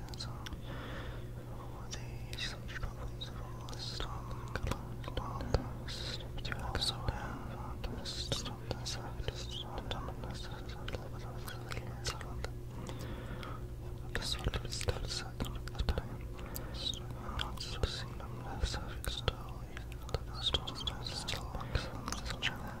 That's These struggles for the stop color, but you also have a stop the side, autonomous, the sort of step second of the time. Not so seen on the surface, though, the first one still works on this channel.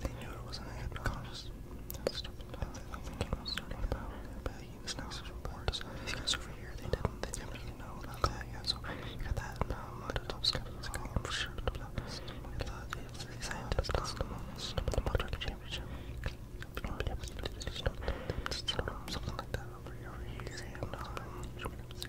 they, knew it wasn't a hypnotist. That's stupid. These guys over here, they didn't, they didn't really know about that yet. So you got that. And, um, the top skeptics going for sure. The scientists, that's the most. The Patrick Championship. Something like that over you know, about, this.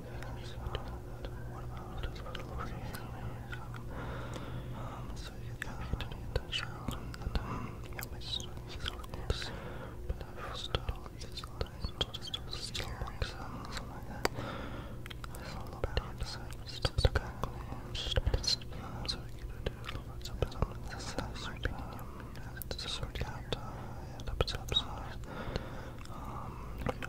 What about just for the Lord? Um, so you can continue to shout and um, yeah, my students are good, but I've started this time to just do strong exams and like that. There's a lot of bad sides to the back of the So you can do lots of bad exercise, um, and it's a sort of cat, uh, and upsets, um, you know,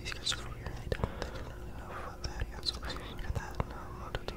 These guys are here. They don't, they don't really know uh, what that is. So, I figured that. Um, uh, how to do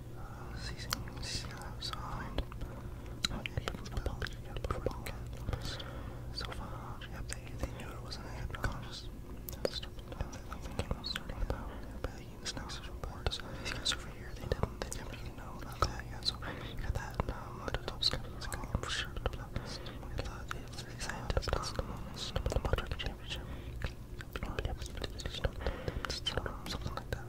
So far, yeah, they, they knew it wasn't a hypnotist. That's stupid. I don't think it was starting it out. But he was not so reports. These guys over here, they didn't, they didn't really know about that yet. So you got that, and um, the top skeptics going for sure. The scientists, the most, the Patrick Championship. Something like that.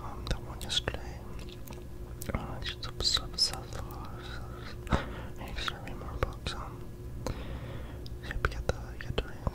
um, that one yesterday. Uh, just sub sub I need to start more books. Um, so you get the get to read it.